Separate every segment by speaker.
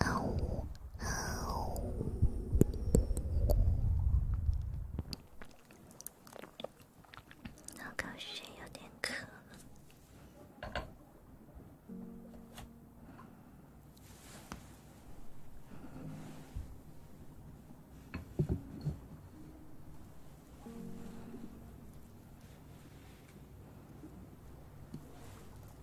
Speaker 1: 好瞌睡，有点渴。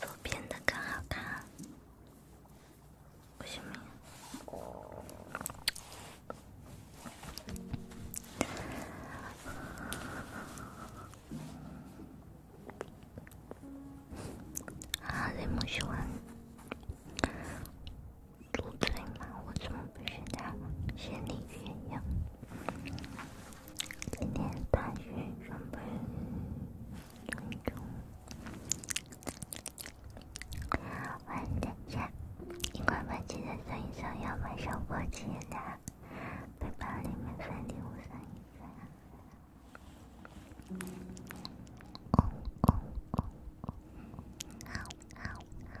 Speaker 1: 左边的更好看，为什么呀？啊，这么喜欢左脸吗？我怎么不觉得像李月一样？今天打算准备一种晚餐菜，一块买几袋三一三，要买上过期的，背包里面放点五三一三。公公公公，嗷嗷嗷！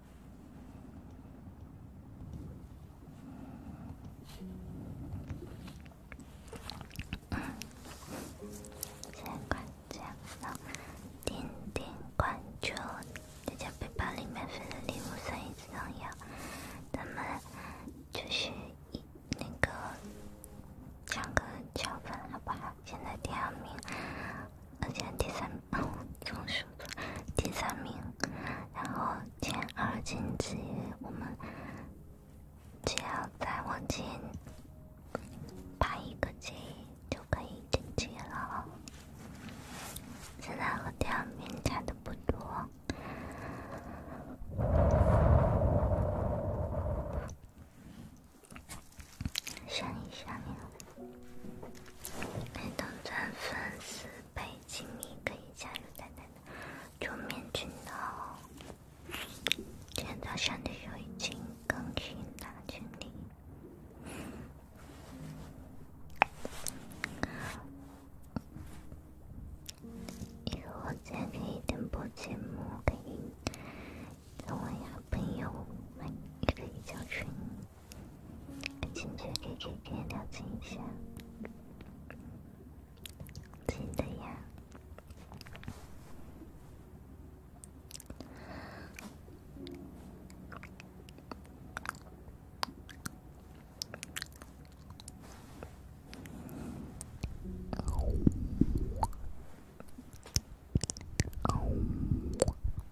Speaker 1: 先关奖点点关注，大家背包里面分的礼物声音很重要。咱们就是一那个抢个奖分，好不好？现在第二名，而且第三。然后从数手，第三名，然后前二晋级，我们只要再往前排一个级就可以晋级了。现在和第二名差的不多，想一想呢。欢迎转粉四百级迷，可以加入淡的桌面群聊。今天早上的就已经更新了，经理。以后我再开直播节目，可以跟我呀朋友们也可以加群。进去，K K K，了解一下，近的呀。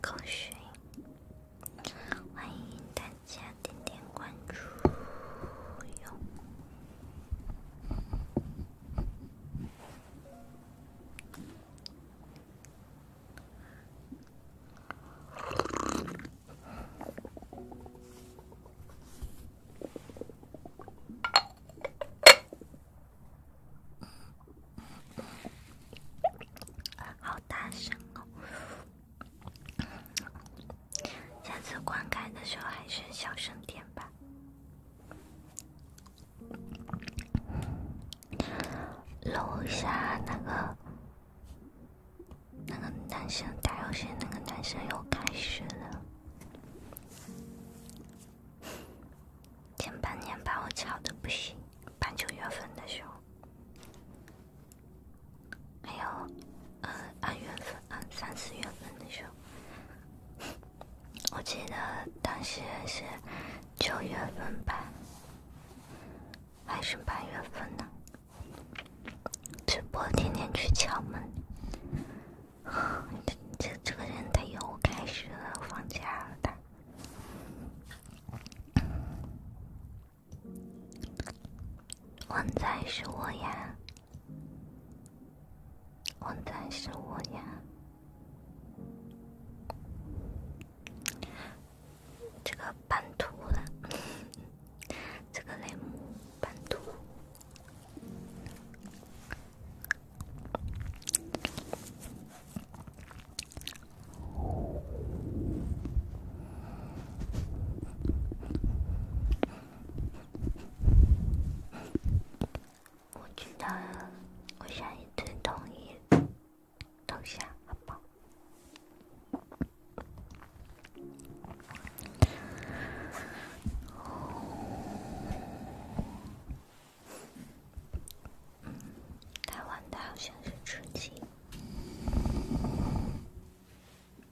Speaker 1: 狗熊，欢迎大家点点关注哟。好大声哦！下次观看的时候还是小声点吧。楼下那个那个男生打游戏，那个男生又开始了。前半年把我吵的不行，八九月份的时候，还有。呃，按月份，按三四月份的时候，我记得当时是九月份吧，还是八月份呢？直播天天去敲门，这这个人他又开始了，放假了，他旺仔是我呀。旺仔是我呀，这个半秃了，这个内幕半秃。我知道，我下一次同意投降，好不好？台湾的好像是吃鸡。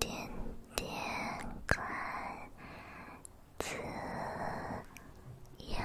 Speaker 1: 点点开，子瑶。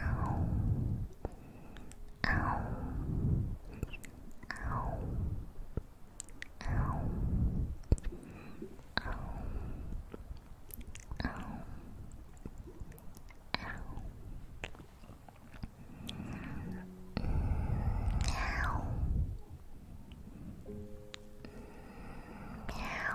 Speaker 1: Ow. Ow. Ow. Ow. Ow. Ow. Meow. Meow. Meow.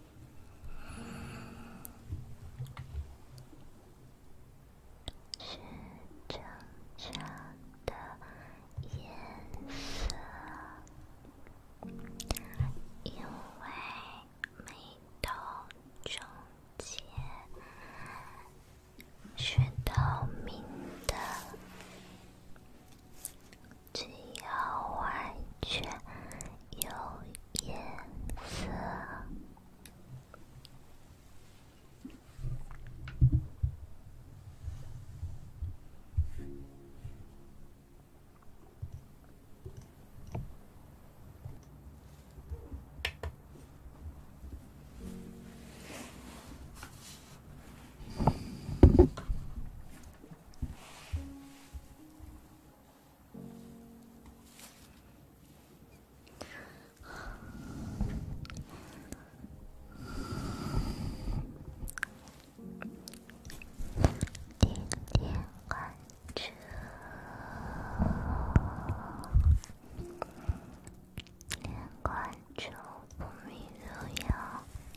Speaker 1: 是正常的颜色，因为眉头中间是透明的。只要完全有颜色。点点关注，点关注不迷路哟。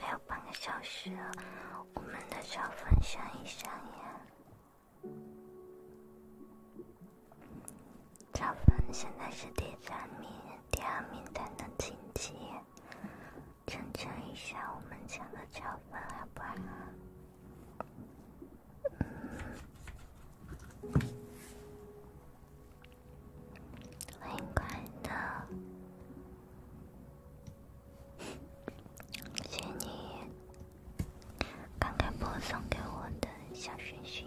Speaker 1: 还有半个小时我们的超分上一上呀！超分现在是第三名，第二名才能晋级，争取一下我们抢个超分，好不好？欢迎快乐，谢谢你刚开播送给我的小星星。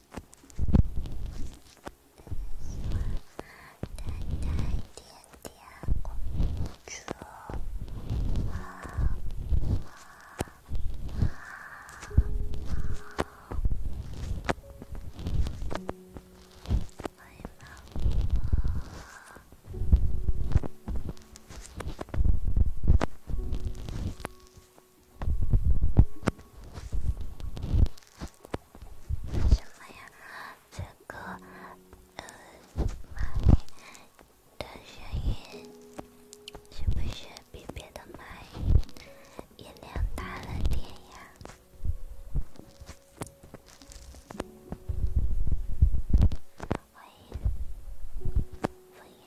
Speaker 1: 淡淡点点，困住。妈妈。什么呀？这个呃麦的声音是不是比别的麦音量大了点呀？欢迎，欢迎。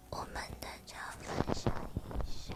Speaker 1: 我们大家分享一下。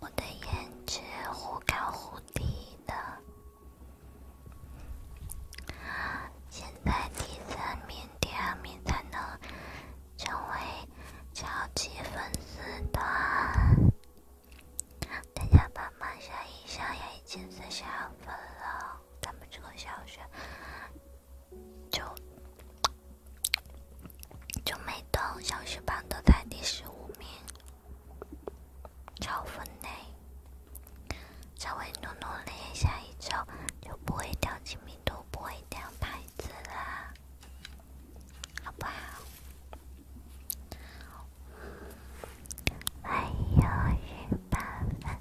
Speaker 1: 我的颜值忽高忽低的，现在第三名、第二名才能成为超级粉丝团，大家帮忙上一下，也已经三十二分了。咱们这个小学就就没动，小学班都在第十五名，超分嘞！稍微努努力，下一周就不会掉亲名度，不会掉牌子啦。好不好？还有十八分。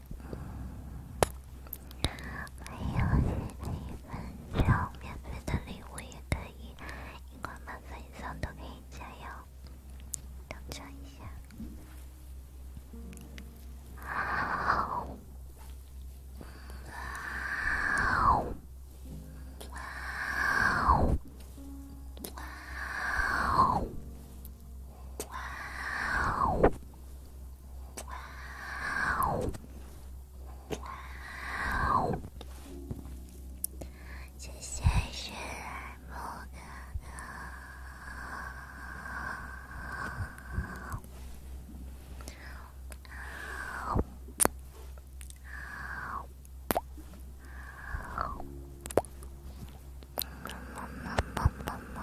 Speaker 1: 嗯，还有很多免费的哇哦谢谢，是不可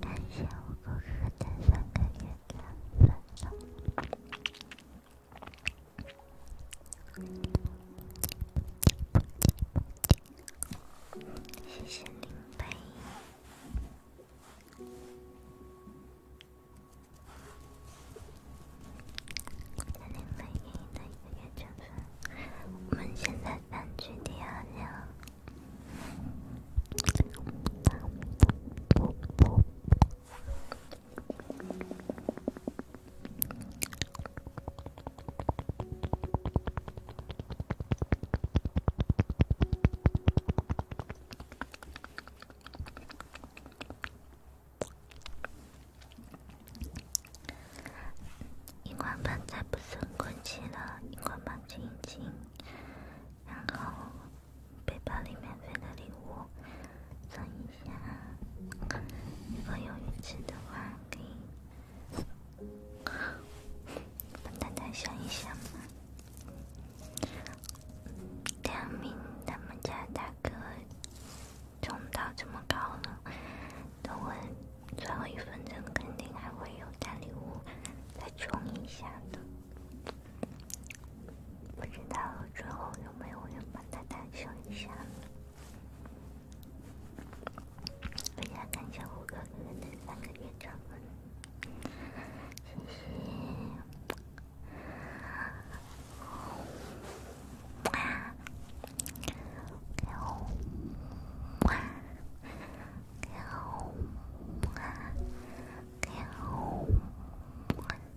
Speaker 1: 感谢我哥哥的三个月的分享。谢谢灵杯，灵杯给你的一元钱，我们现在单曲第二秒。一罐泡菜不升国旗了，一罐泡面金，然后背包里免费的礼物，送一。想，如果有鱼池的话，可以。笨蛋想一想，梁明他们家大哥冲到这么高了，等我最后一分钟，肯定还会有大礼物再冲一下的。不知道最后有没有人帮他打赏一下？我想看一下我哥哥的三个月账本。谢谢。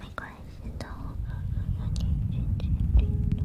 Speaker 1: 没关系的，我告诉你，近距离的。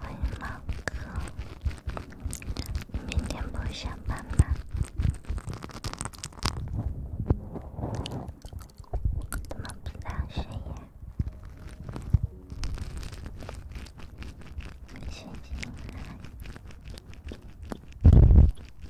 Speaker 1: 欢迎猫哥，你明天不下班吗？怎么不打声呀？神经！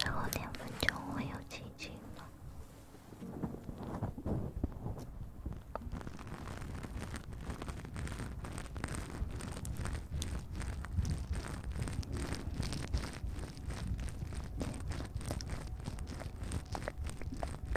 Speaker 1: 最后两分钟会有奇迹吗？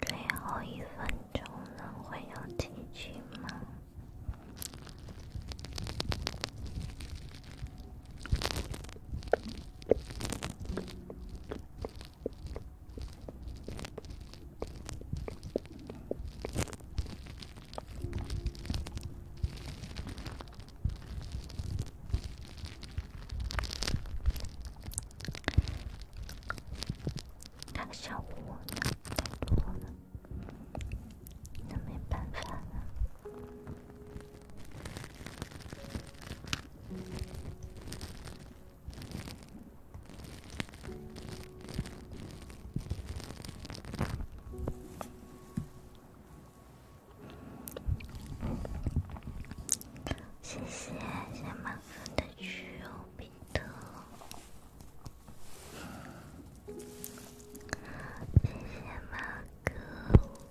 Speaker 1: 最后一分钟能会有结局吗？那个小屋呢？太多了，那没办法了。谢谢谢马哥的食用冰豆，谢谢马哥。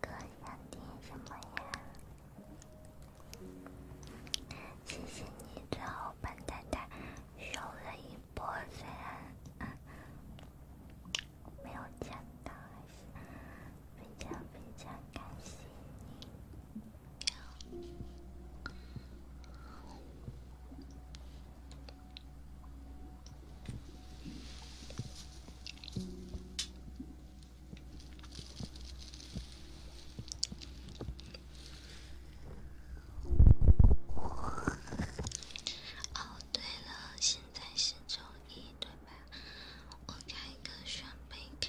Speaker 1: 哥想听什么呀？谢谢你，最后把太太秀了一波人，没有抢到还是分享分享，感谢你。哦，对了，现在是周一，对吧？我开个选备卡。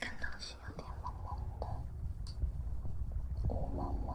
Speaker 1: 看东西有点蒙蒙的，雾蒙蒙，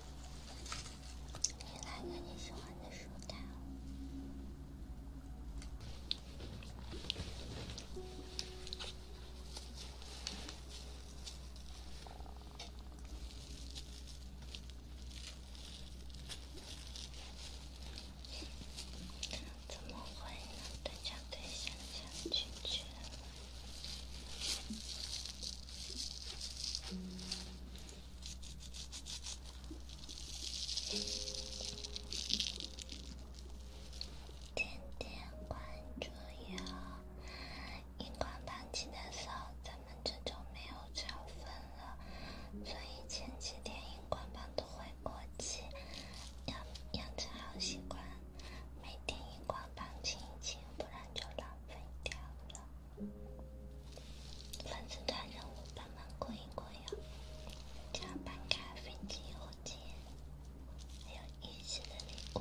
Speaker 1: 你来个你喜欢的书单。怎么会呢？对象对象想拒绝天天关着药，荧光棒用的少，咱们这就没有潮粉了。所以前几天荧光棒都会过期，养养成好习惯，每天荧光棒清一清，不然就浪费掉了。粉丝团任务帮忙过一过呀，加班咖啡机火箭，还有仪式的礼物。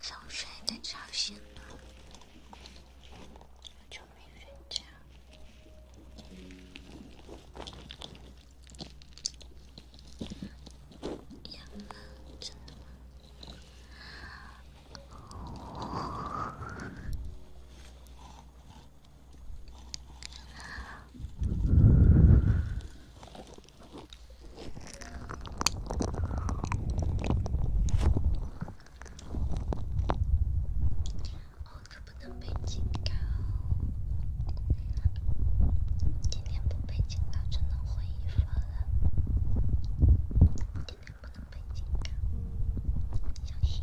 Speaker 1: 从睡的吵醒了，我就没睡觉。真的吗？哦，可不能被警告！今天不被警告，就能混一分了。今天不能被警告，小心！小心！小心！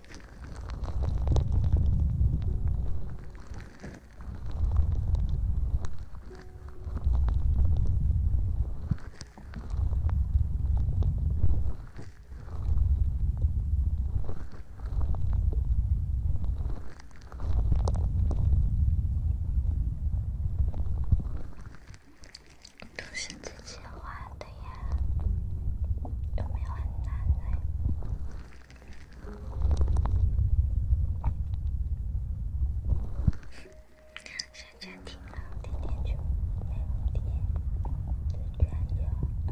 Speaker 1: 都是自己画的呀，有没有很难呢？现在停了，点点球，六点，四加九二。